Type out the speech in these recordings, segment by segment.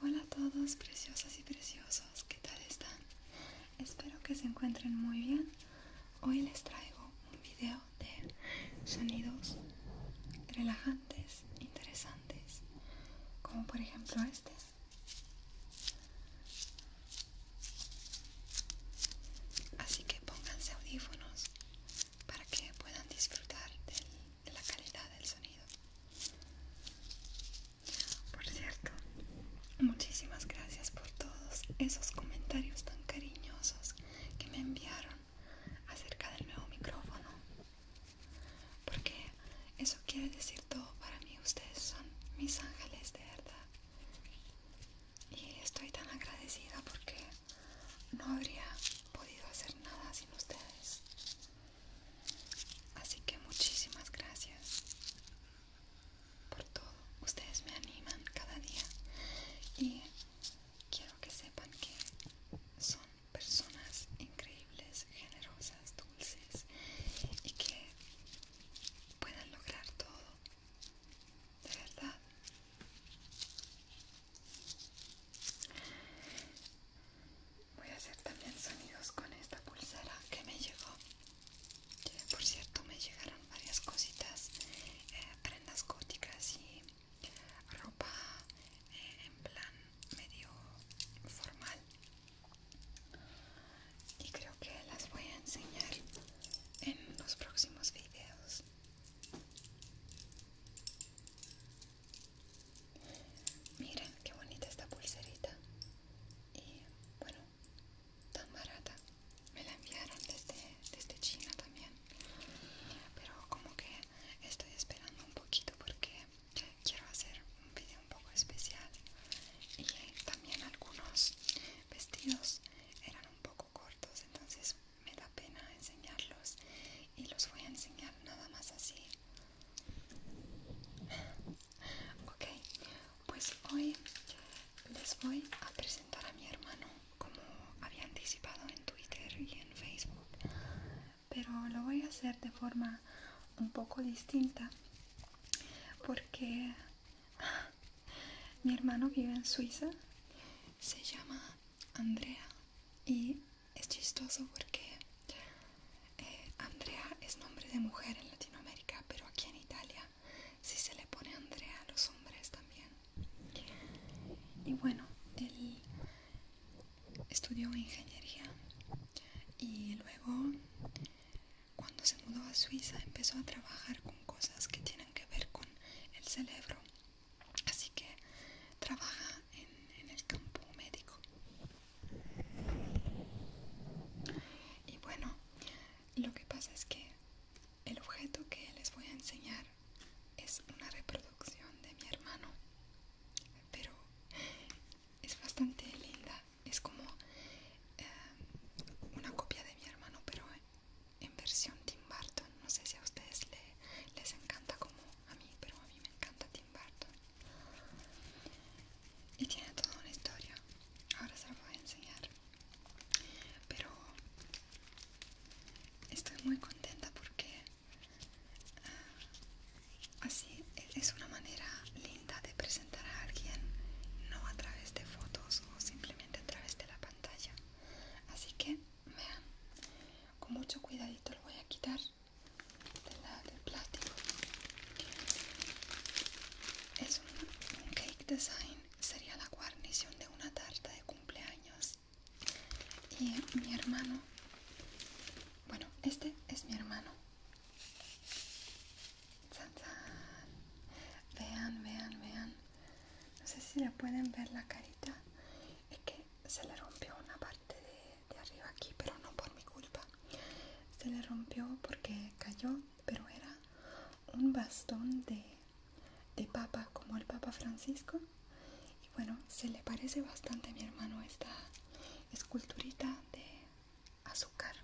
Hola a todos, preciosas y preciosos, ¿qué tal están? Espero que se encuentren muy bien. Hoy les traigo un video de sonidos relajantes, interesantes, como por ejemplo este. Así que pónganse audífonos para que puedan disfrutar del de la calidad del sonido. Por cierto, muchísimas gracias por todos esos comentarios tan cariñosos que me enviaron acerca del nuevo micrófono. Porque eso quiere decir todo para mí. Ustedes son mis ángeles de verdad. Y estoy tan agradecida porque no habría podido hacer nada sin ustedes. Así que muchísimas gracias por todo. Ustedes me animan cada día y quiero que sepan que son personas increíbles, generosas, dulces y que puedan lograr todo. De verdad. Voy a hacer también sonidos con esta pulsera que me llegó. Por cierto, me llegaron varias cositas, eh, prendas góticas y ropa eh, en plan medio formal. Y creo que las voy a enseñar en los próximos videos. Miren qué bonita esta pulserita. Y bueno, tan barata. Me la enviaron desde, este, desde este China también. Pero como que estoy esperando un poquito porque quiero hacer un video un poco especial. Y también algunos vestidos eran un poco cortos, entonces me da pena enseñarlos y los voy a enseñar nada más así Ok, pues hoy les voy a presentar a mi hermano como había anticipado en Twitter y en Facebook, pero lo voy a hacer de forma un poco distinta porque mi hermano vive en Suiza, se llama Andrea y es chistoso porque eh, Andrea es nombre de mujer en Latinoamérica, pero aquí en Italia sí se le pone Andrea a los hombres también. Y bueno, él estudió ingeniería y luego cuando se mudó a Suiza empezó a trabajar con cosas que tienen que ver con el cerebro. Así que trabaja en, el campo médico. Y bueno, lo que pasa es que el objeto que les voy a enseñar es una reproducción de mi hermano, pero es bastante linda, es como eh, una copia de mi hermano, pero en versión Tim Burton. No sé si a ustedes les encanta como a mí, pero a mí me encanta Tim Burton y tiene toda una historia ahora se la voy a enseñar pero estoy muy contenta porque ah, así e-, es una manera linda de presentar a alguien no a través de fotos o simplemente a través de la pantalla así que vean con mucho cuidadito lo voy a quitar del es un, cake design sería la guarnición de una tarta de cumpleaños y mi hermano bueno este es mi hermano vean vean vean no sé si le pueden ver la carita es que se le rompió una parte de de arriba aquí, pero no por mi culpa. Se le rompió porque cayó, pero era un bastón de, de papa, como el Papa Francisco. Y bueno, se le parece bastante a mi hermano esta esculturita de azúcar.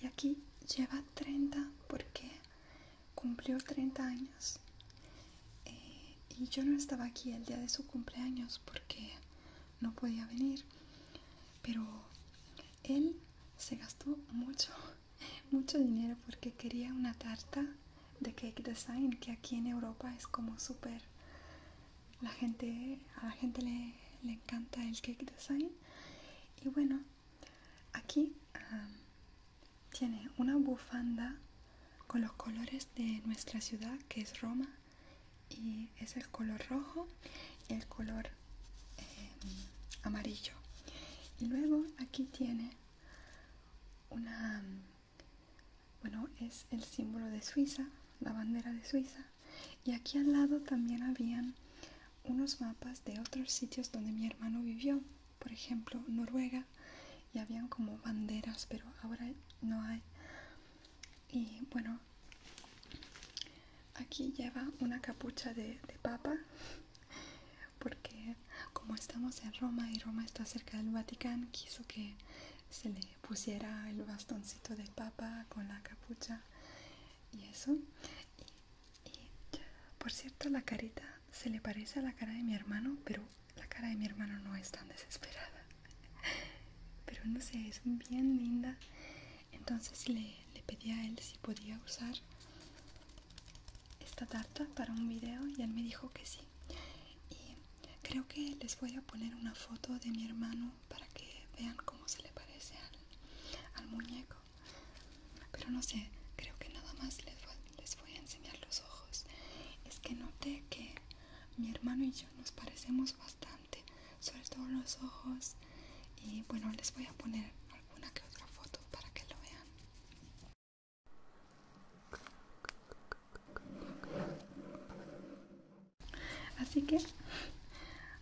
Y aquí lleva 30 porque cumplió 30 años. Eh, y yo no estaba aquí el día de su cumpleaños, porque no podía venir pero él se gastó mucho mucho dinero porque quería una tarta de cake design que aquí en Europa es como súper la gente a la gente le, encanta el cake design y bueno aquí tiene una bufanda con los colores de nuestra ciudad que es Roma y es el color rojo y el color em, amarillo y luego aquí tiene una bueno es el símbolo de Suiza la bandera de Suiza y aquí al lado también habían unos mapas de otros sitios donde mi hermano vivió por ejemplo Noruega y habían como banderas pero ahora no hay y bueno aquí lleva una capucha de, papa porque como estamos en Roma y Roma está cerca del Vaticano quiso que se le pusiera el bastoncito de papa con la capucha y eso y por cierto la carita se le parece a la cara de mi hermano pero la cara de mi hermano no es tan desesperada pero no sé es bien linda entonces le, pedí a él si podía usar esta tarta para un video y él me dijo que sí y creo que les voy a poner una foto de mi hermano para que vean cómo se le parece al, muñeco pero no sé creo que nada más les les voy a enseñar los ojos es que noté que mi hermano y yo nos parecemos bastante, sobre todo los ojos. Y bueno, les voy a poner alguna que otra foto para que lo vean. Así que,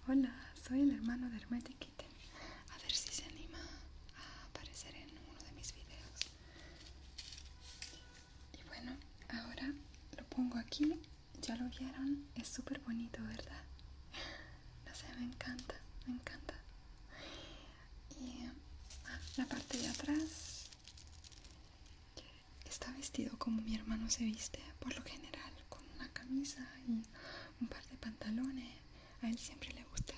hola, soy el hermano de Hermetic Kitten. A ver si se anima a aparecer en uno de mis videos y bueno ahora lo pongo aquí ya lo vieron es súper bonito verdad no sé me encanta me encanta y ah, la parte de atrás está vestido como mi hermano se viste por lo general con una camisa y un par de pantalones a él siempre le gusta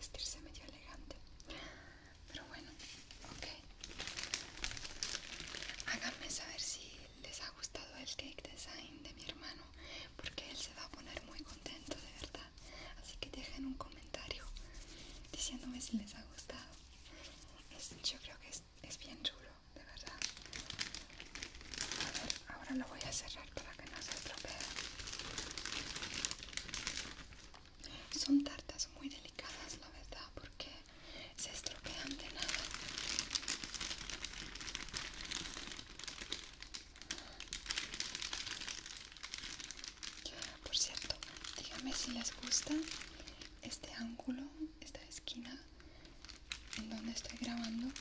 vestirse medio elegante pero bueno, ok. Háganme saber si les ha gustado el cake design de mi hermano, porque él se va a poner muy contento de verdad. Así que dejen un comentario diciéndome si les ha gustado. yo creo que es, bien chulo, de verdad. A ver, ahora lo voy a cerrar para que no se estropee. Son tartas muy delicadas, la verdad, porque se estropean de nada. Por cierto, díganme si les gusta este ángulo, esta esquina en donde estoy grabando,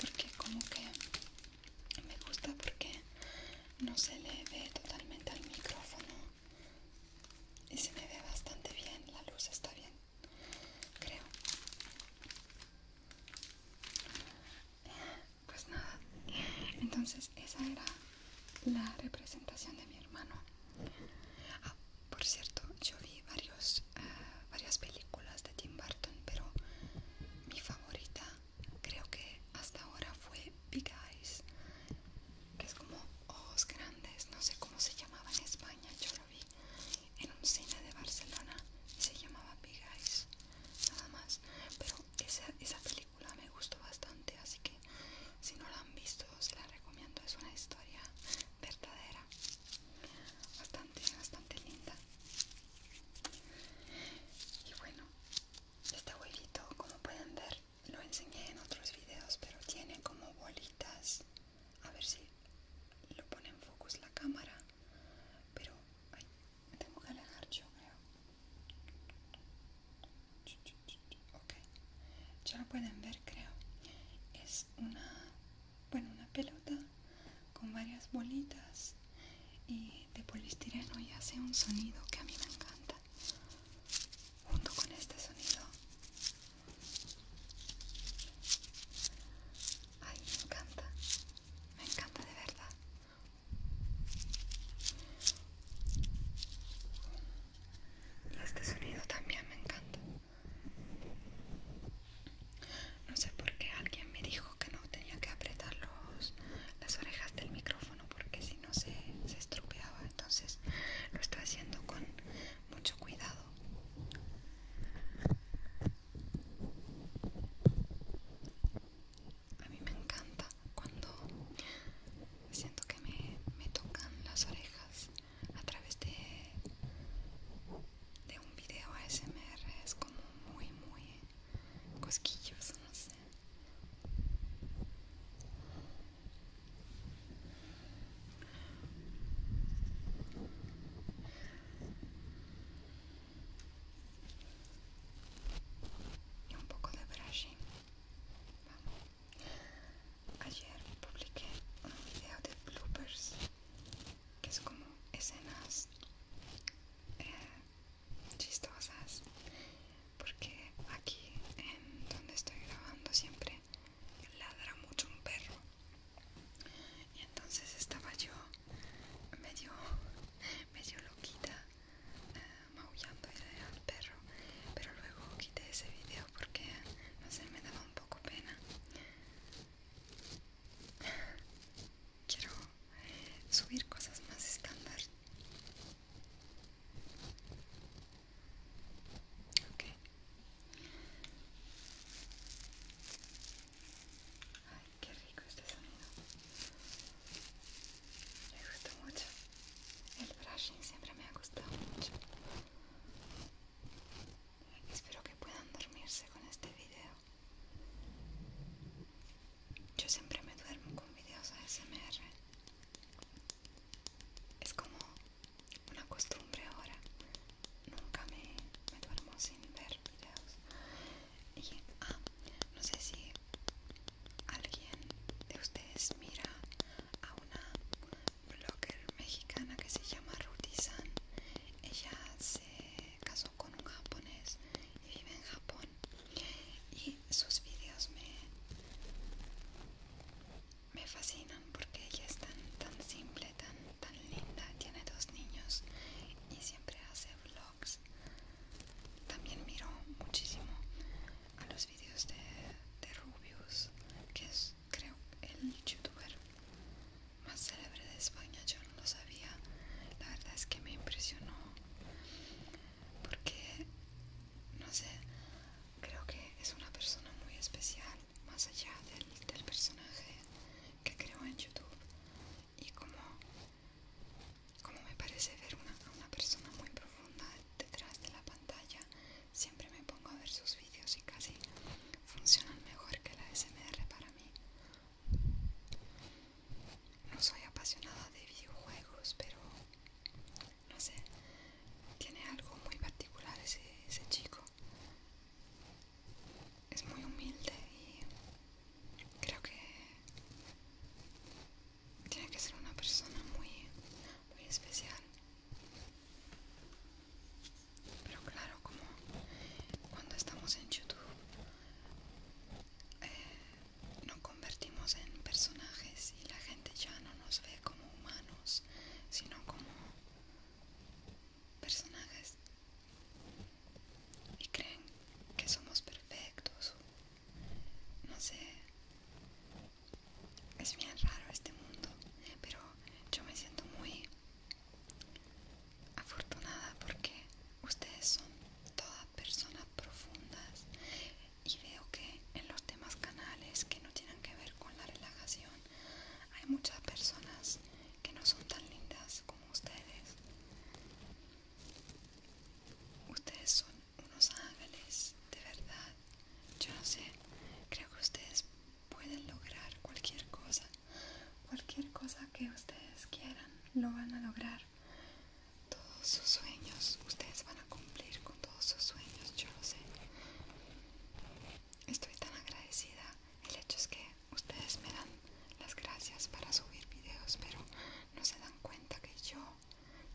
porque como que me gusta porque no se le ve totalmente al micrófono y se me ve bastante bien, la luz está bien, creo. Pues nada, entonces esa era la representación de mi hermano. Ah, por cierto, yo vi varios, eh, varias películas de Tim Burton, pero mi favorita creo que hasta ahora fue Big Eyes que es como ojos grandes, no sé cómo se llamaba en España, yo lo vi en un cine de Barcelona se llamaba Big Eyes, nada más, pero esa, esa película me gustó bastante, así que si no la han visto se la recomiendo, es una historia verdadera, bastante, bastante linda. Y bueno, este huevito, como pueden ver, lo enseñé en otros videos pero tiene como bolitas a ver si lo pone en focus la cámara pero me tengo que alejar yo creo ok ya lo pueden ver creo es una bueno una pelota con varias bolitas y de polistireno y hace un sonido que a mí me encanta junto con este sonido Ay, me encanta. Me encanta de verdad. Y este sonido también me encanta. No sé por qué alguien me dijo que no tenía que apretar los, las orejas del micrófono porque si no se, se estropeaba. Entonces lo estoy haciendo con mucho cuidado. A mí me encanta cuando siento que me, tocan las orejas a través de, de un video ASMR. Es como muy, muy cosquilloso, no sé y un poco de brushing ayer publiqué un video de bloopers que es como escenas eh, chistosas porque aquí en donde estoy grabando siempre ladra mucho un perro y entonces estaba yo medio, medio loquita eh, maullando al perro pero luego quité ese video porque no sé me daba un poco pena quiero subir cosas más estándar Okay. Ay, qué rico este sonido. Me gusta mucho. El brushing siempre me ha gustado mucho. Espero que puedan dormirse con este video. Yo siempre me duermo con videos ASMR es como una costumbre ahora. Nunca me, duermo sin ver videos. Y, ah, no sé si alguien de ustedes mira a una blogger mexicana que se llama Ruthie San. Ella se casó con un japonés y vive en Japón. Y sus videos me me fascinan porque ella es tan, tan simple, tan, tan linda, tiene dos niños y siempre hace vlogs. También miro muchísimo a los vídeos de, de Rubius, que es creo el youtuber más célebre de España, yo no lo sabía, la verdad es que me impresionó porque, no sé, creo que es una persona muy especial más allá del, personaje que creo en YouTube y como, como me parece ver una, a una persona muy profunda detrás de la pantalla, siempre me pongo a ver sus vídeos y casi funcionan mejor que la SMR para mí. No soy apasionada de videojuegos, pero no sé, tiene algo muy particular ese, chico. Es muy humilde y creo que tiene que ser una persona muy, muy especial. Pero claro, como cuando estamos en YouTube, eh, nos convertimos en personajes y la gente ya no nos ve como humanos, sino como personajes y creen que somos perfectos no sé es bien raro este mundo pero yo me siento muy afortunada porque ustedes son todas personas profundas y veo que en los demás canales que no tienen que ver con la relajación hay muchas personas que no son tan lindas como ustedes. Ustedes son unos ángeles, de verdad. Yo no sé, creo que ustedes pueden lograr cualquier cosa. Cualquier cosa que ustedes quieran, lo van a lograr. Todos sus sueños, ustedes van a cumplir con todos sus sueños, yo lo sé. Estoy tan agradecida. El hecho es que ustedes me dan las gracias para subir videos, pero no se dan cuenta que yo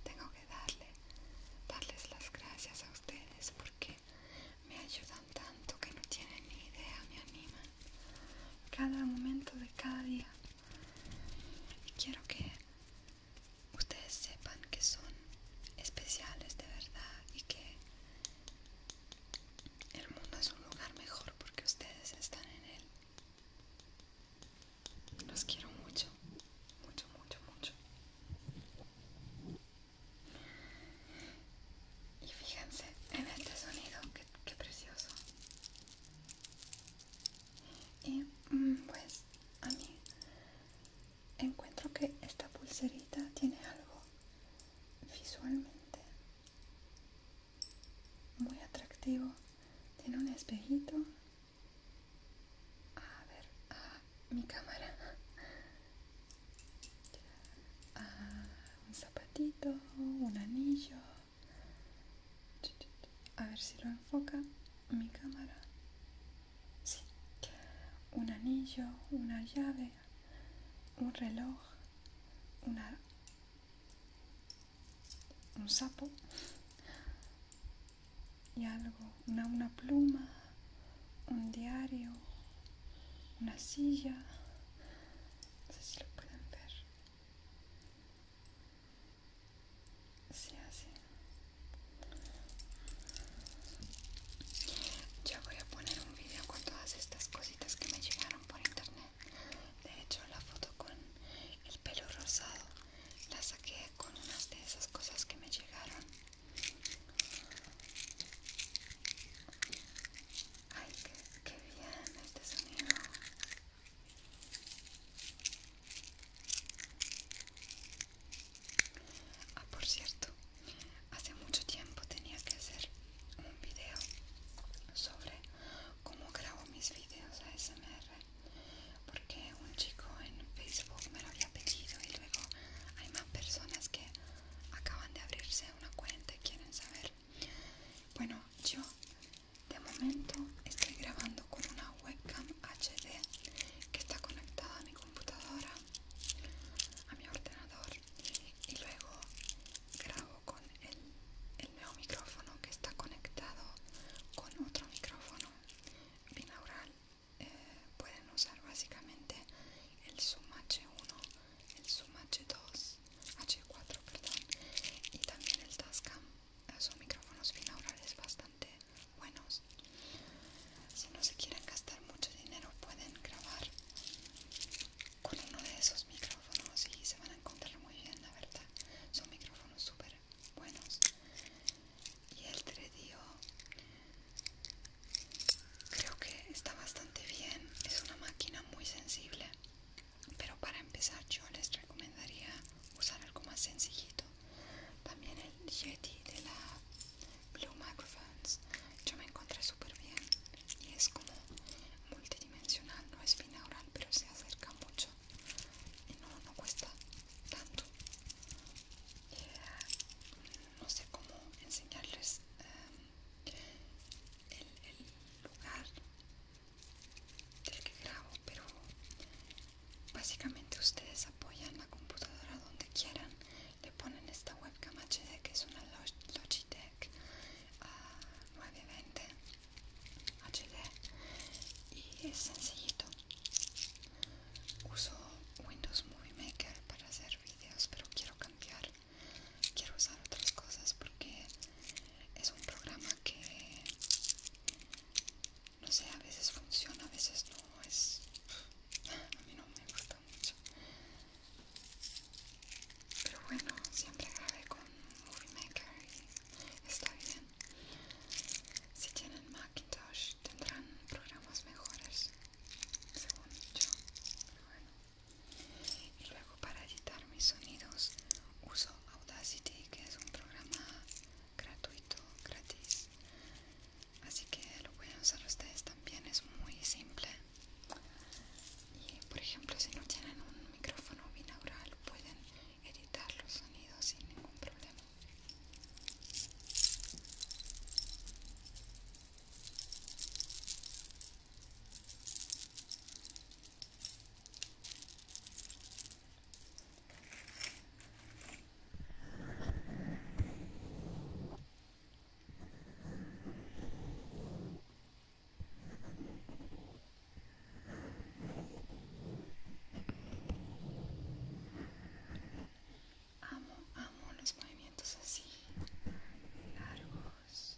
tengo que darle, darles las gracias a ustedes porque me ayudan tanto que no tienen ni idea, me animan cada momento de cada día. Y quiero que ustedes sepan que son especiales de verdad y que el mundo es un lugar mejor porque ustedes están en él. Los quiero mucho, mucho, mucho, mucho. Y fíjense en este sonido, qué, precioso. Y mm, pues a mí encuentro que esta pulserita tiene algo visualmente muy atractivo tiene un espejito a ver a mi cámara un zapatito un anillo a ver si lo enfoca mi cámara sí un anillo una llave un reloj, una, un sapo y algo, una, una pluma, un diario, una silla, no sé si lo pueden ver. Sí, así. Ya voy a poner un video con todas estas cositas que me llegaron por internet. De hecho, la foto con el pelo rosado la saqué con unas de esas cosas que me llegaron. Ay, qué, qué bien este sonido. Ah, por cierto, Hace mucho tiempo tenía que hacer un video sobre cómo grabo mis videos ASMR porque un chico en Facebook me lo había pedido y luego hay más personas que acaban de abrirse una cuenta y quieren saber. Bueno, yo de momento estoy grabando con una webcam HD que está conectada a mi computadora, a mi ordenador y luego grabo con el, nuevo micrófono que está conectado con otro micrófono binaural eh, pueden usar básicamente el Zoom H1 el Zoom H2 H4 perdón y también el Tascam eh, son micrófonos binaurales bastante buenos si no se quieren gastar mucho dinero pueden grabar con uno de esos micrófonos y se van a encontrar muy bien la verdad son micrófonos súper buenos y el Tredio creo que está bastante bien es una máquina muy sensible pero para empezar yo les recomendaría usar algo más sencillito también el Yeti de la Blue Microphones yo me encontré súper bien y es como multidimensional, no es binaural pero se acerca mucho y no, cuesta tanto eh, no sé cómo enseñarles eh, el, el lugar del que grabo pero básicamente ustedes apoyan la computadora donde quieran le ponen esta webcam HD que es una Logitech 920 ah, HD y es sencillito uso Windows Movie Maker para hacer videos pero quiero cambiar quiero usar otras cosas porque es un programa que no sé a veces funciona a veces no es a mí no me gusta mucho pero bueno, siempre grabé con Movie Maker y está bien. Si tienen Macintosh tendrán programas mejores, según yo. Y luego para editar mis sonidos uso Audacity, que es un programa gratuito, gratis. Así que lo pueden usar ustedes también, es muy simple y por ejemplo si no tienen un micrófono binaural pueden editar los sonidos sin ningún problema Amo, amo los movimientos así, largos.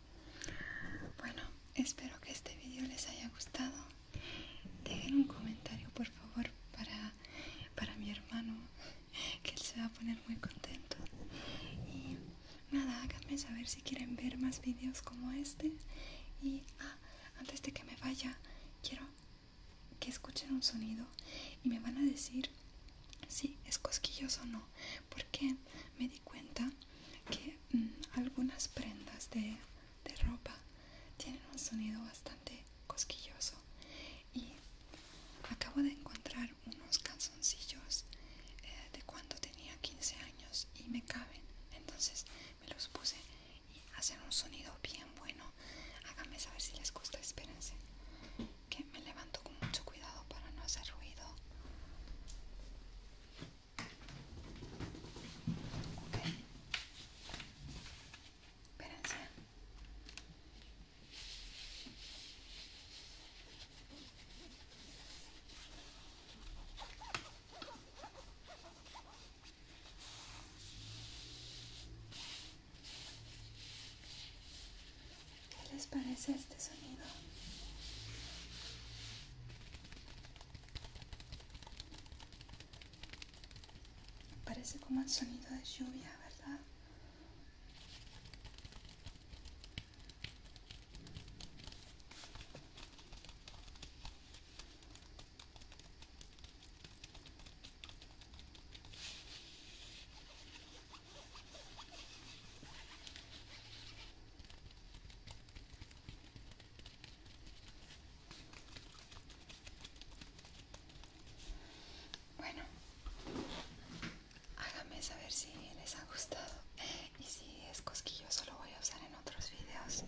Bueno, espero que este vídeo les haya gustado. Dejen un comentario, por favor, para, mi hermano, que él se va a poner muy contento. Y nada, háganme saber si quieren ver más vídeos como este. Y ah, antes de que me vaya, quiero que escuchen un sonido y me van a decir si es cosquilloso o no, porque me cuenta que mm, algunas prendas de, ropa tienen un sonido bastante cosquilloso y acabo de encontrar unos calzoncillos eh, de cuando tenía 15 años y me caben entonces me los puse y hacen un sonido bien bueno háganme saber si les gusta espérense que me levanto con mucho cuidado para no hacer ruido ¿Qué les parece este sonido? Parece como el sonido de lluvia, ¿verdad? Bueno, háganme saber si les ha gustado y si es cosquilloso lo voy a usar en otros videos.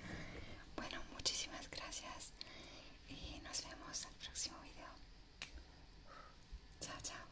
Bueno, muchísimas gracias y nos vemos el próximo video. Chao, chao.